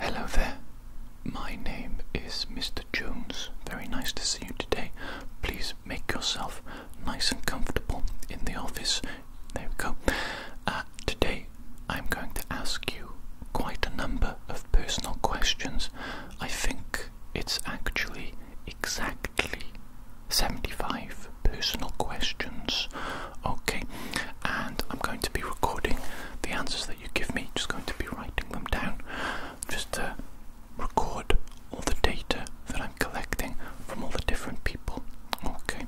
Hello there. My name is Mr. Jones. Very nice to see you today. Please make yourself nice and comfortable in the office. There we go. Uh, today I'm going to ask you quite a number of personal questions. I think it's actually exactly 75 personal questions. Okay, and I'm going to be recording the answers that you give me, just going to be writing them down just to record all the data that I'm collecting from all the different people. Okay,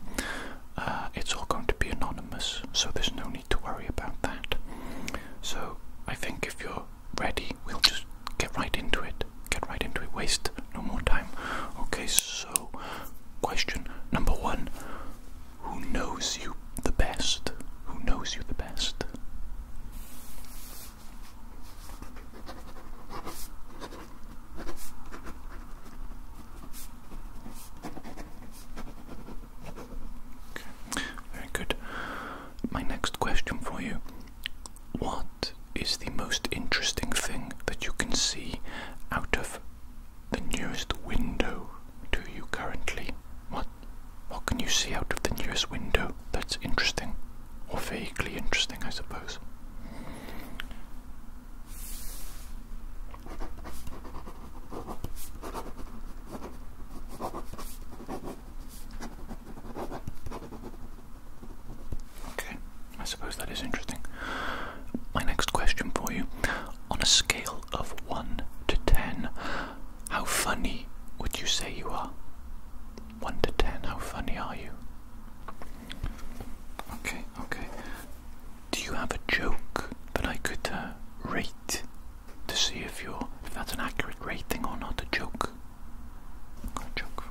uh, it's all going to be anonymous, so there's no need to worry about that. So, I think if you're ready, we'll just get right into it. Get right into it, waste no more time. Okay, so question number one who knows you the best? Who knows you the best? good. My next question for you What is the most interesting thing that you can see out of the nearest window do you currently? What? What can you see out of the nearest window that's interesting? Or vaguely interesting, I suppose. Okay, I suppose that is interesting. My next question for you on a scale of 1 to 10, how funny would you say you are? 1 to 10, how funny are you? Okay, okay. Do you have a joke that I could uh, rate to see if you're if that's an accurate rating or not a joke? Got a joke.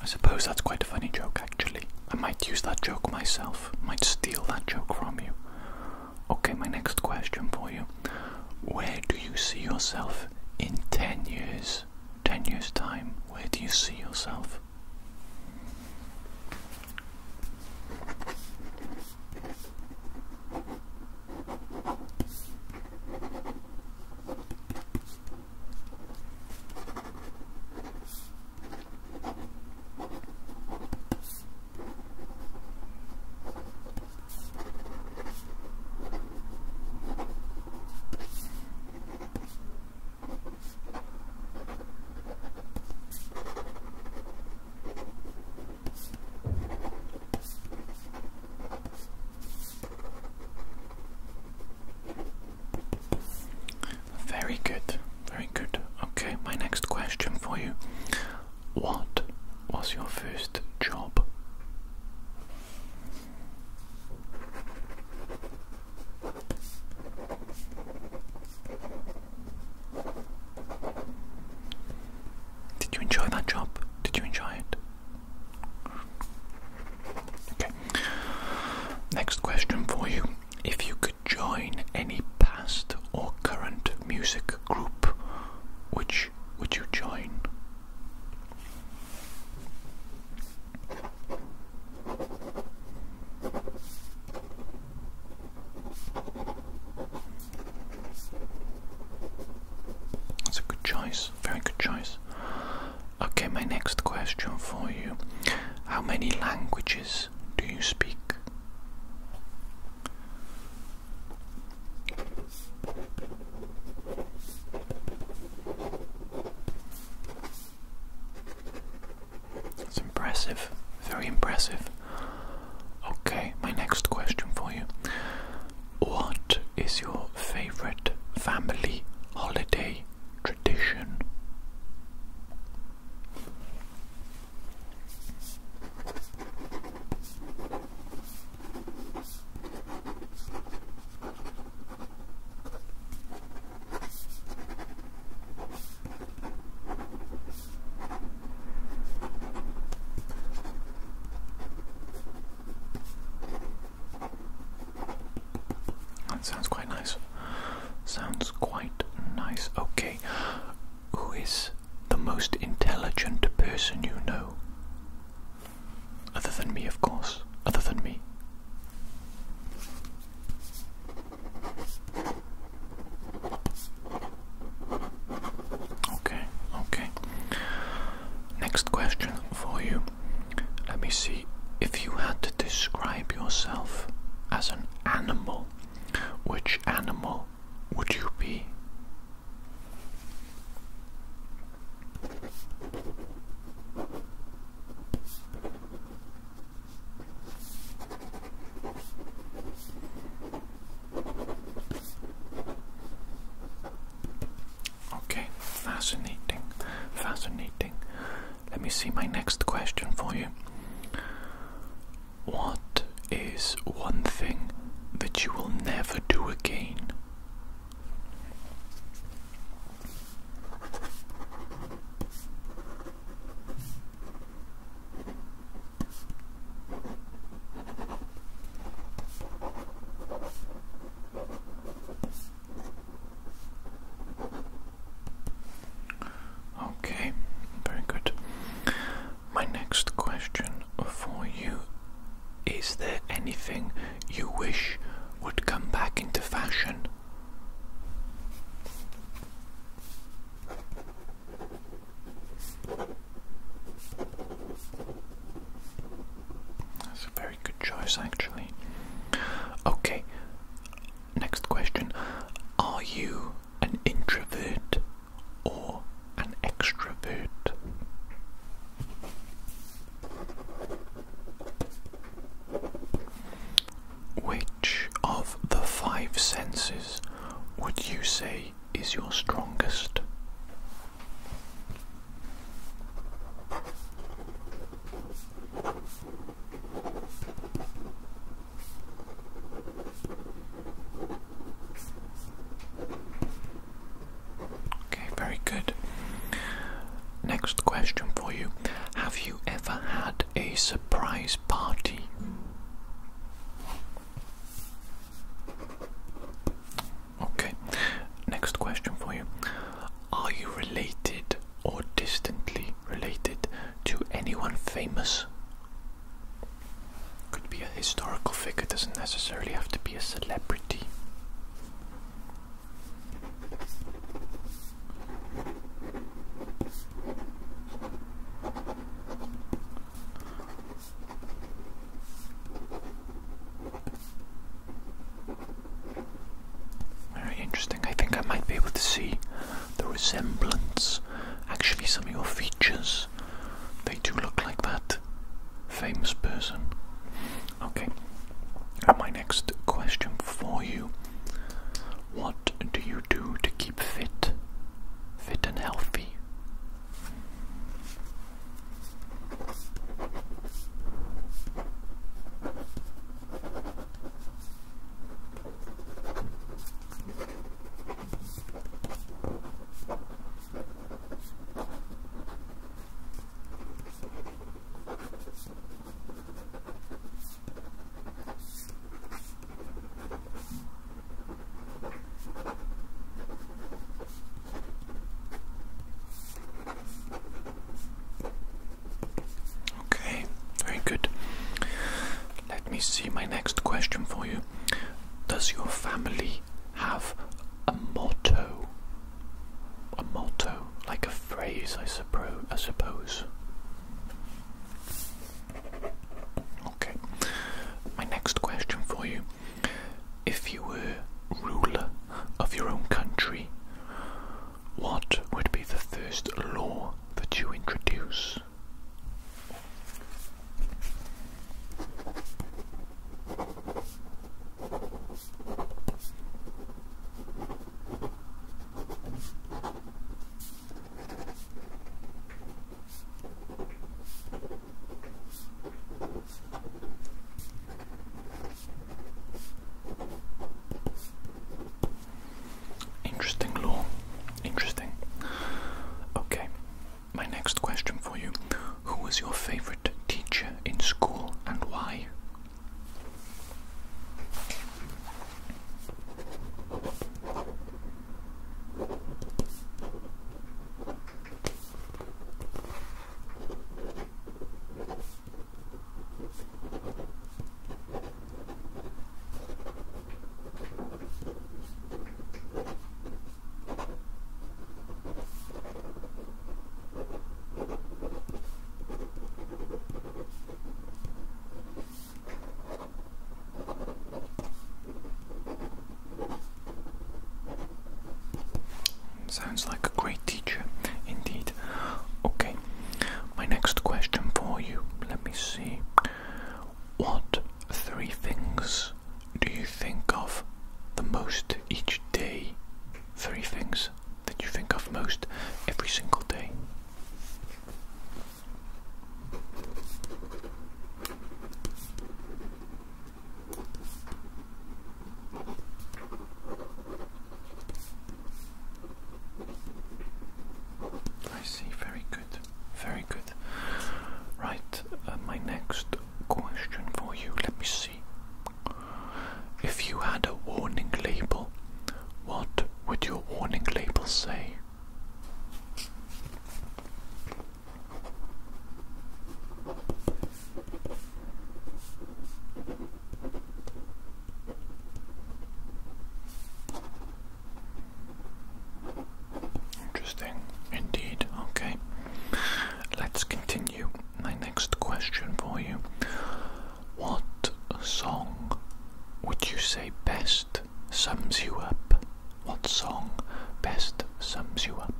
I suppose that's quite a funny joke, actually. I might use that joke myself, might steal that joke from you. Okay, my next question for you Where do you see yourself in 10 years? 10 years' time, where do you see yourself? Very good, very good. Okay, my next question for you. What was your first job? Did you enjoy that job? Did you enjoy it? Okay. Next question for you. If you could join any past or current music group, which would you join? That's a good choice, very good choice. Okay, my next question for you How many languages do you speak? It's impressive, very impressive. Okay, my next question for you. What is your favorite family holiday tradition? That sounds quite nice. Sounds quite nice. Okay. Who is the most intelligent person you know? Other than me, of course. Other than me. Okay, okay. Next question for you. Let me see. If you had to describe yourself as an animal, which animal would you be? Okay, fascinating, fascinating. Let me see my next question for you. What is one thing that you will never do again? Okay, very good. My next question for you is there anything you wish would come back into fashion? That's a very good choice, actually. Okay, next question. Are you an introvert or an extrovert? Which of the five senses would you say is your strongest? Okay, very good. Next question for you. Have you ever had a surprise party? Okay, next question for you. Are you related or distantly related to anyone famous? Could be a historical figure, doesn't necessarily have to be a celebrity. Very interesting. I think I might be able to see the resemblance. Actually, some of your features, they do look like that famous person. Okay. my next question for you What do you do to keep fit? Fit and healthy? Okay, very good. Let me see my next question for you. Does your family have a motto. A motto, like a phrase, I suppose. Okay. My next question for you: If you were ruler of your own country, what would be the first law that you introduce? Interesting law. Interesting. Okay, my next question for you who was your favourite teacher in school and why? Sounds like a great teacher, indeed. Okay, my next question for you. Let me see. What three things do you think of the most each day? Three things that you think of most every single day. I see, very good, very good. Right, uh, my next question for you, let me see. If you had a warning label, what would your warning label say? Interesting indeed, okay. Let's continue. My next question for you What song would you say best sums you up? What song best sums you up?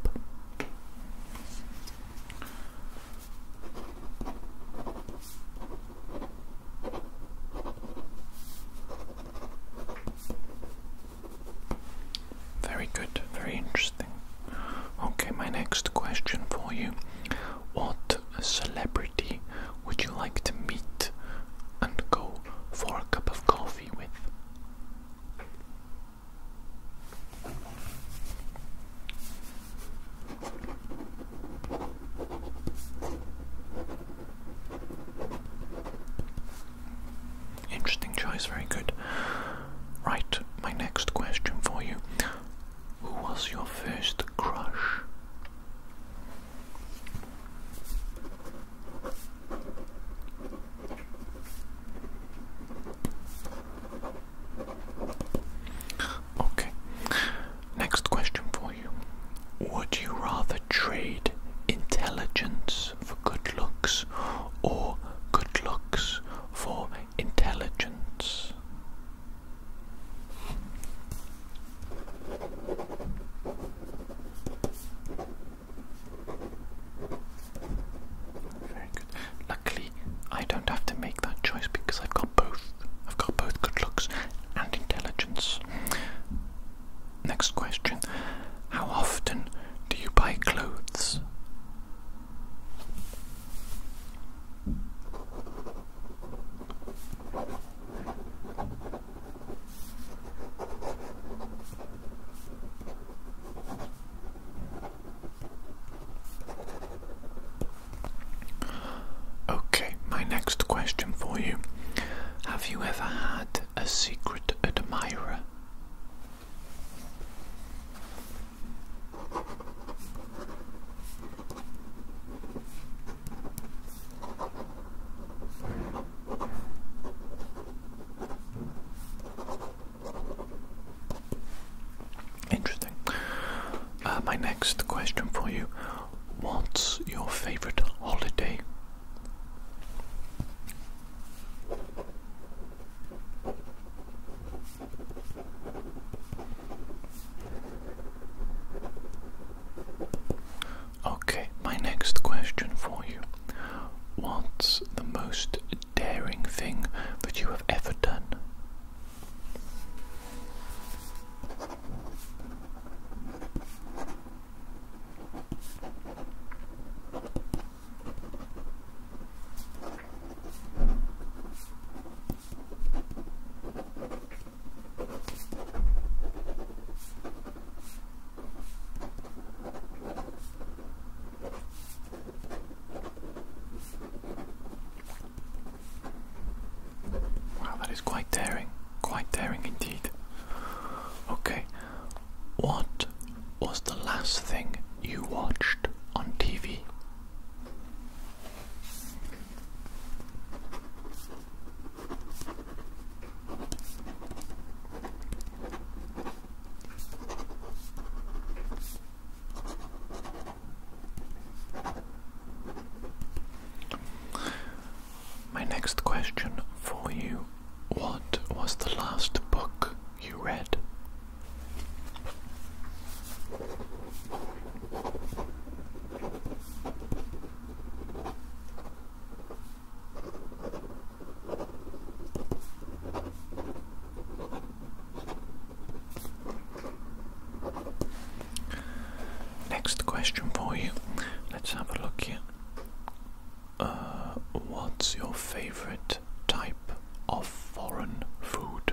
Very good, very interesting. Okay, my next question for you. What celebrity would you like to meet and go for a cup of coffee with? Interesting choice, very good. Right, my next question for you. Who was your first crush? Okay, next question for you. Would you rather trade intelligence for good looks or good looks for intelligence. Very good. Luckily, I don't have to make that choice because I've got both. I've got both good looks and intelligence. Next question How often do you buy clothes? Okay, my next question for you. Have you ever had a secret admirer? Interesting. Uh, my next question for you What's your favourite holiday? Okay, my next question for you. What's the most daring thing that you have ever done? Wow, that is quite daring, quite daring indeed. Okay, what was the last thing you watched on TV? My next question for you What was the last book you read? Next question for you. Let's have a look here. Uh, what's your favorite type of foreign food?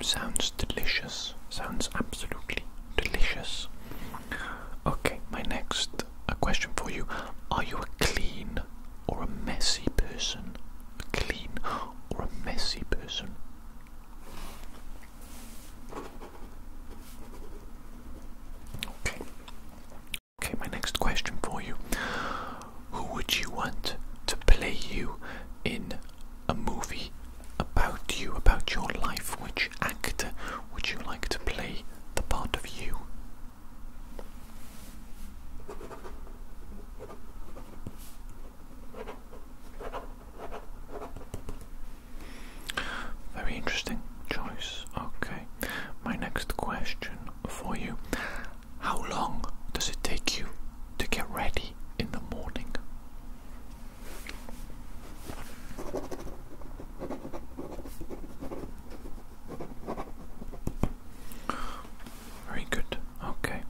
Sounds delicious. Sounds absolutely delicious. Okay, my next a question for you. Are you a clean or a messy person? A clean or a messy person? Okay. Okay, my next question for you. Who would you want to play you in a movie about you, about your life? Which actor would you like to play the part of you very interesting choice. Okay, my next question for you How long does it take you to get ready in the morning? Very good. Okay.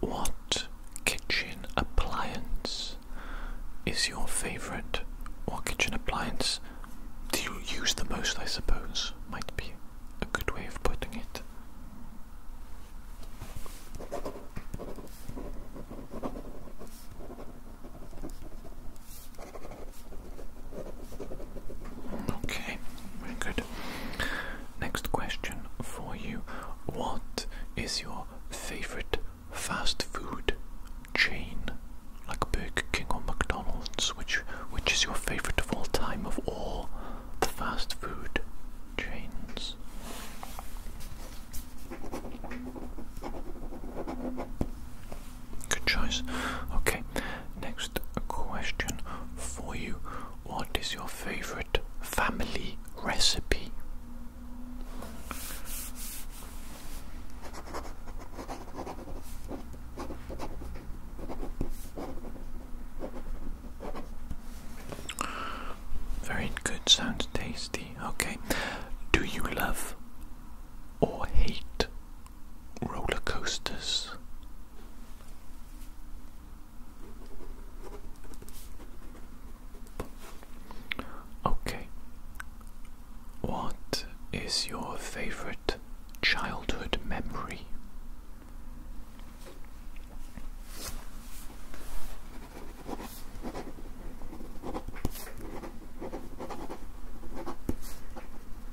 What kitchen appliance is your favourite? What kitchen appliance do you use the most, I suppose? Might be a good way of putting it. Okay, very good. Next question for you. What is your favorite fast food chain? Like Burger King or McDonald's, which which is your favorite of all time of all the fast food chains? Good choice. Okay, next question for you. What is your favorite family recipe? Very good, sounds tasty. Okay, do you love or hate roller coasters. Okay. What is your favorite childhood memory?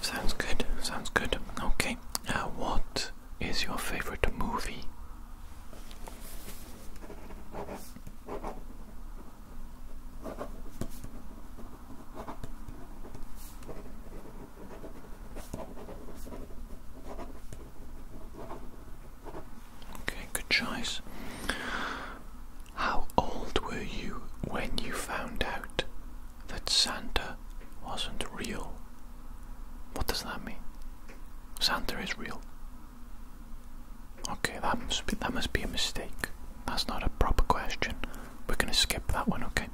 Sounds good, sounds good. Okay, now uh, what is your favorite movie? Okay, good choice. How old were you when you found out that Santa wasn't real? What does that mean? Santa is real. Okay, that must be, that must be a mistake. That's not a proper question. We're going to skip that one, okay?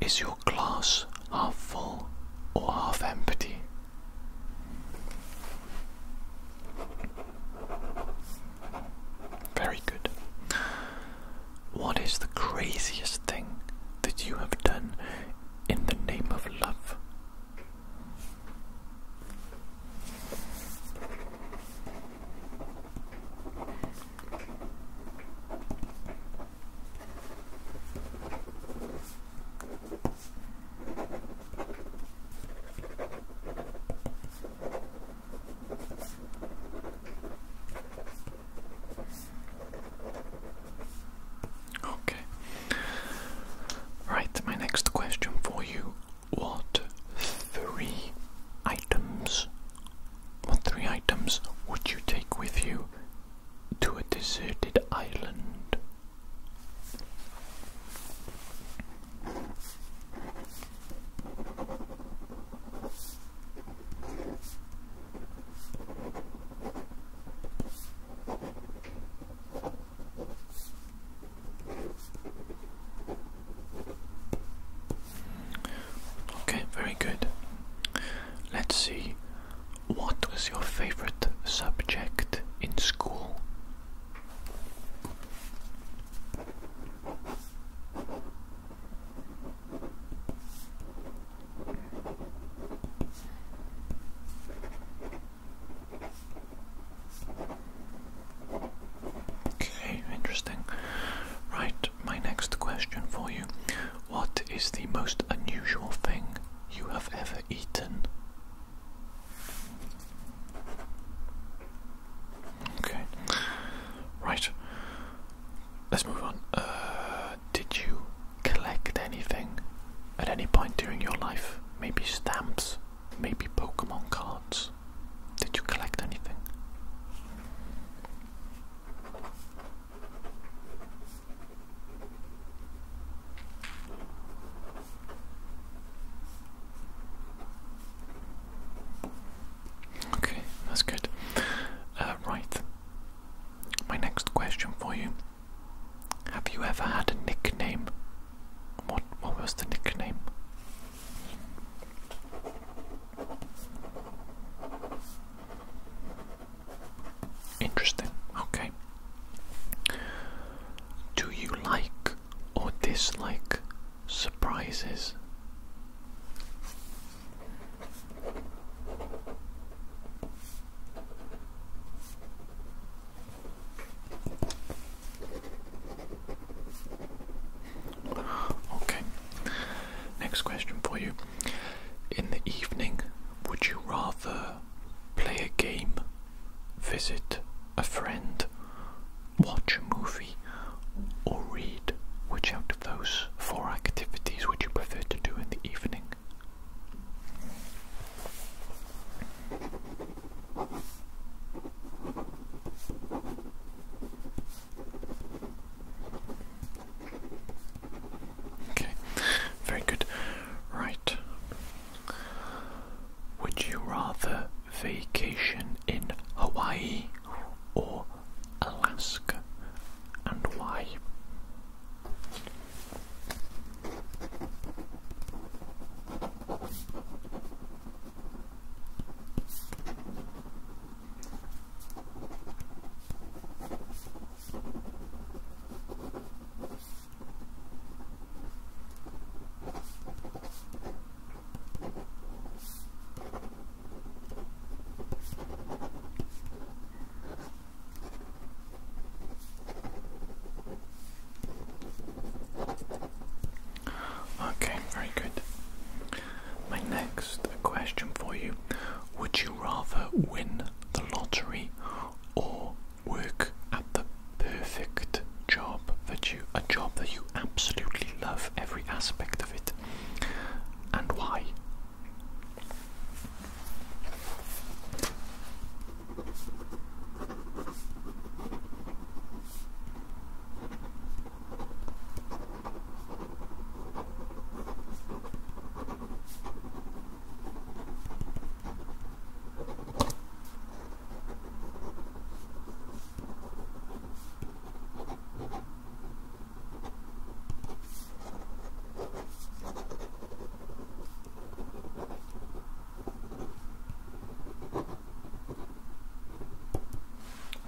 Is your glass half full or half empty? Very good. What is the craziest thing that you have done in the name of love? Okay. Right, my next question for you. What three items what three items would you take with you to a deserted island? Okay, very good. Let's see. What was your favorite subject in school? Okay, interesting. Right, my next question for you. What is the most unusual thing you have ever eaten? Okay. Right. Let's move on. Uh, did you collect anything at any point during your life? Maybe stamps? Maybe Pokemon cards? Did you collect anything? Okay, that's good. Uh, right. My next question for you. Have you ever had a nickname? What what was the nickname? Interesting. Okay. Do you like or dislike surprises? Okay, next question for you. In the evening, would you rather play a game, visit a friend, watch a movie, or read. Which out of those four activities would you prefer to do in the evening? Okay, very good. Right. Would you rather vacation in Hawaii or Alaska and why? Okay, very good. My next question for you Would you rather win the lottery or work at the perfect job? that you a job that you absolutely love every aspect of it and why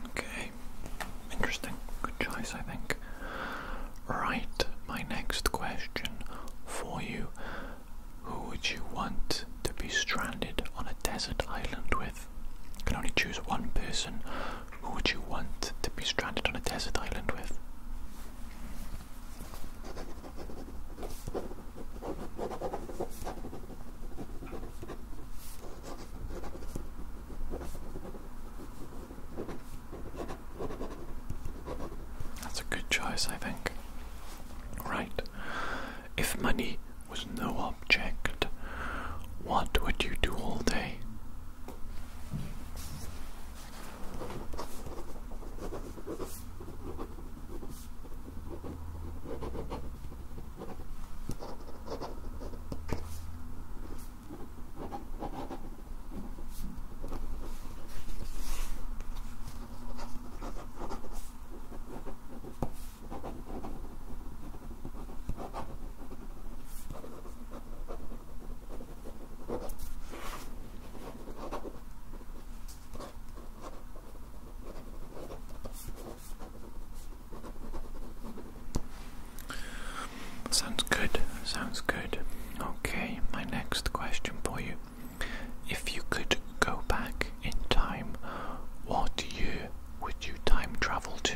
Okay, interesting. Good choice, I think. Right, my next question for you Who would you want to be stranded on a desert island with? You can only choose one person. Who would you want to be stranded on a desert island with? That's a good choice, I think. Right. If money was no object, what would you do all day? Sounds good, sounds good. Okay, my next question for you. If you could go back in time, what you would you time travel to?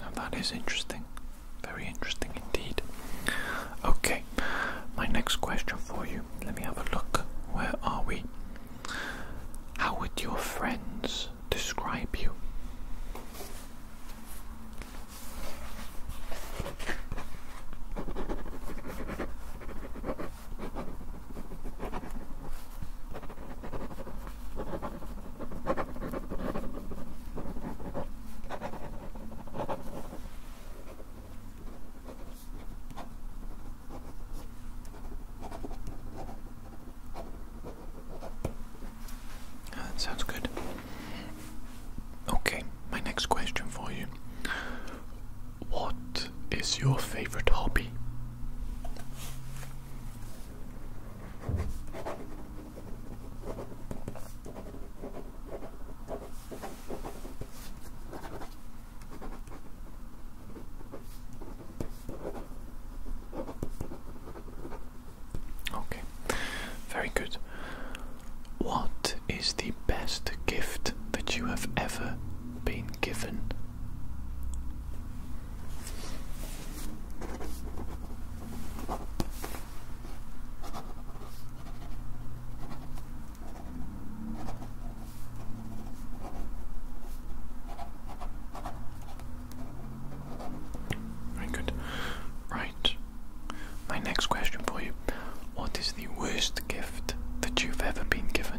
Now that is interesting. Very interesting indeed. Okay, my next question for you. Let me have a look. Where are we? How would your friends describe you? That sounds good. Okay, my next question for you. What is your favorite hobby? Okay, very good. What is the best gift that you have ever been given? Very good. Right. My next question for you. What is the worst gift that you've ever been given?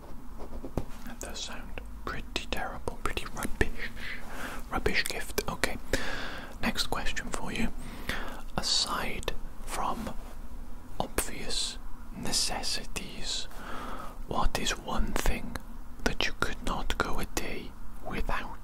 That does sound pretty terrible, pretty rubbish. Rubbish gift. Okay. Next question for you. Aside from obvious necessities, what is one thing that you could not go a day without?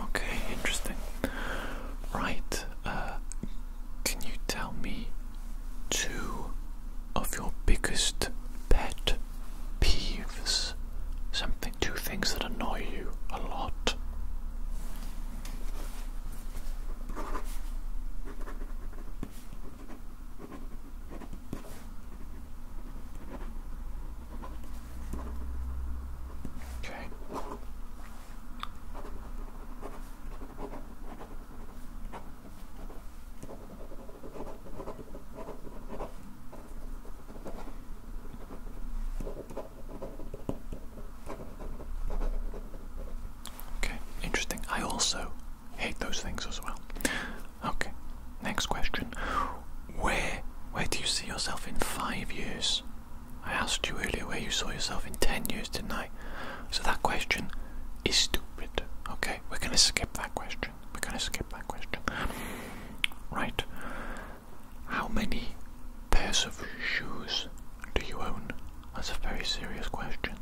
Okay, interesting. Right, uh, can you tell me two of your biggest pet peeves. Something, two things that annoy you a lot. Okay. Okay, interesting. I also hate those things as well. Okay, next question. Where where do you see yourself in five years? I asked you earlier where you saw yourself in ten years, didn't I? So that question is stupid. Okay, we're gonna skip that question. We're gonna skip that question. Right. How many pairs of shoes do you own? That's a very serious question.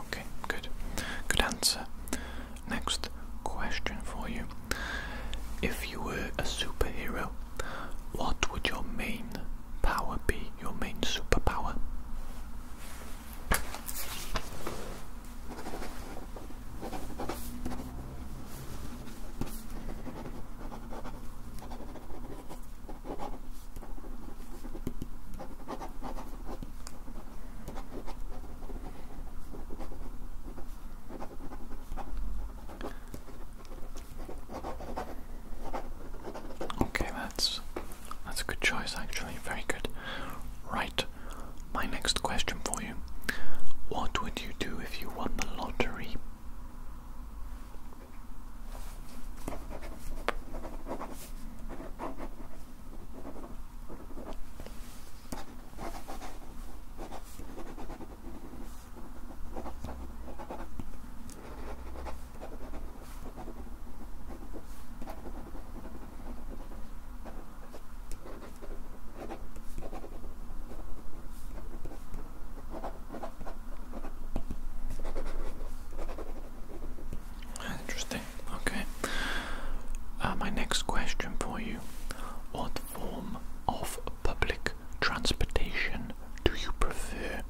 Okay, good. Good answer. Next question for you. If you were a superhero, what would your main power be? Your main superpower? Okay, that's that's a good choice actually. Very good. Right. My next question for you. What would you do if you won the lottery? Interesting. Okay. Uh, my next question for you: What form of public transportation do you prefer?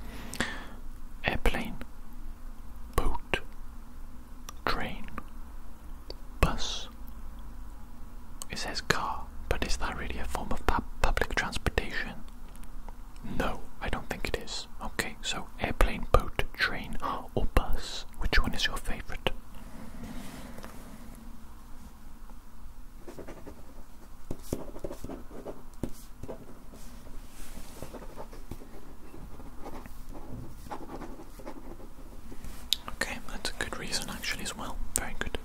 Airplane, boat, train, bus. It says car, but is that really a form of public transportation? No, I don't think it is. Okay, so airplane, boat, train, or bus. Which one is your favourite? Okay, that's a good reason actually as well. Very good.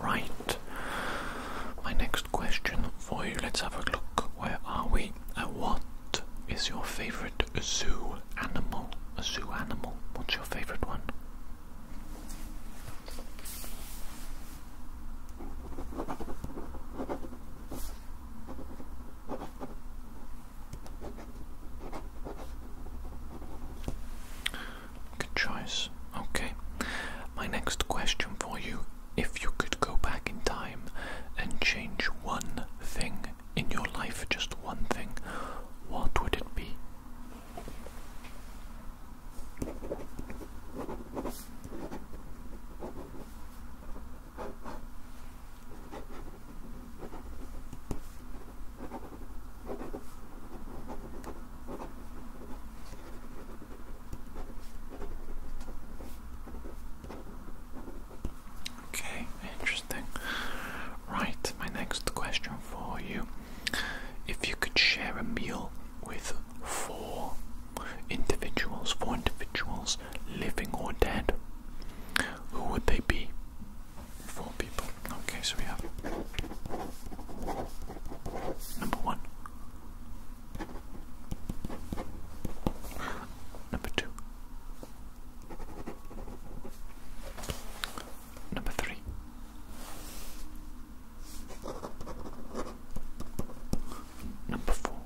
Right. My next question for you, let's have a look. Where are we? Uh, what is your favorite zoo animal? A zoo animal. What's your favorite one? Good choice. Okay. My next question for you if you could go back in time and change one thing in your life, just one thing, what would it be? Okay, interesting. Right, my next question for you if you could share a meal with four individuals, four individuals, living or dead, who would they be? Four people. Okay, so we have number one, number two, number three, Number four.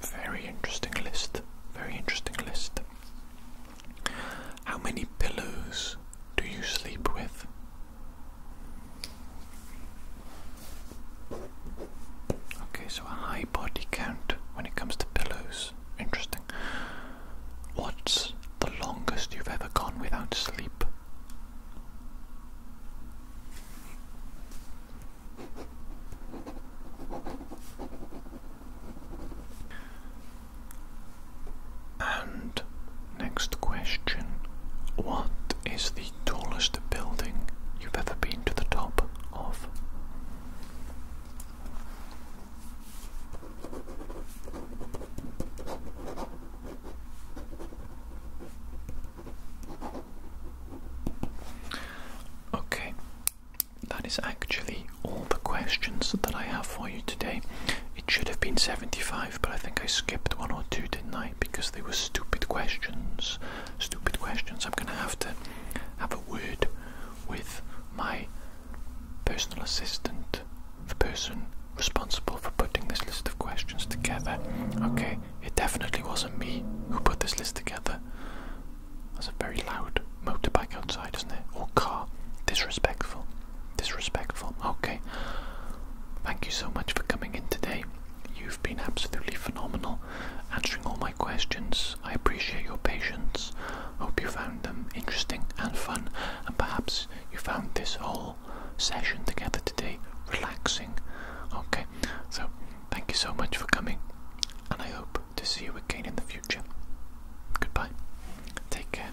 Very interesting list. Very interesting list. How many pillows do you sleep with? Okay, so a high body count when it comes to pillows interesting. What's the longest you've ever gone without sleep? And next question What is the tallest building you've ever been to the top of? Okay, that is actually all the questions that I have for you today. It should have been 75, but I think I skipped one or 2 tonight Because they were stupid questions. Stupid questions. I'm going to have to have a word with my personal assistant, the person responsible for putting this list of questions together. Okay, it definitely wasn't me who put this list together. That's a very loud motorbike outside, isn't it? Or car. Disrespectful. Disrespectful. Okay. Thank you so much for coming in today. You've been absolutely phenomenal answering all questions. I appreciate your patience. Hope you found them interesting and fun, and perhaps you found this whole session together today relaxing. Okay, so thank you so much for coming, and I hope to see you again in the future. Goodbye. Take care.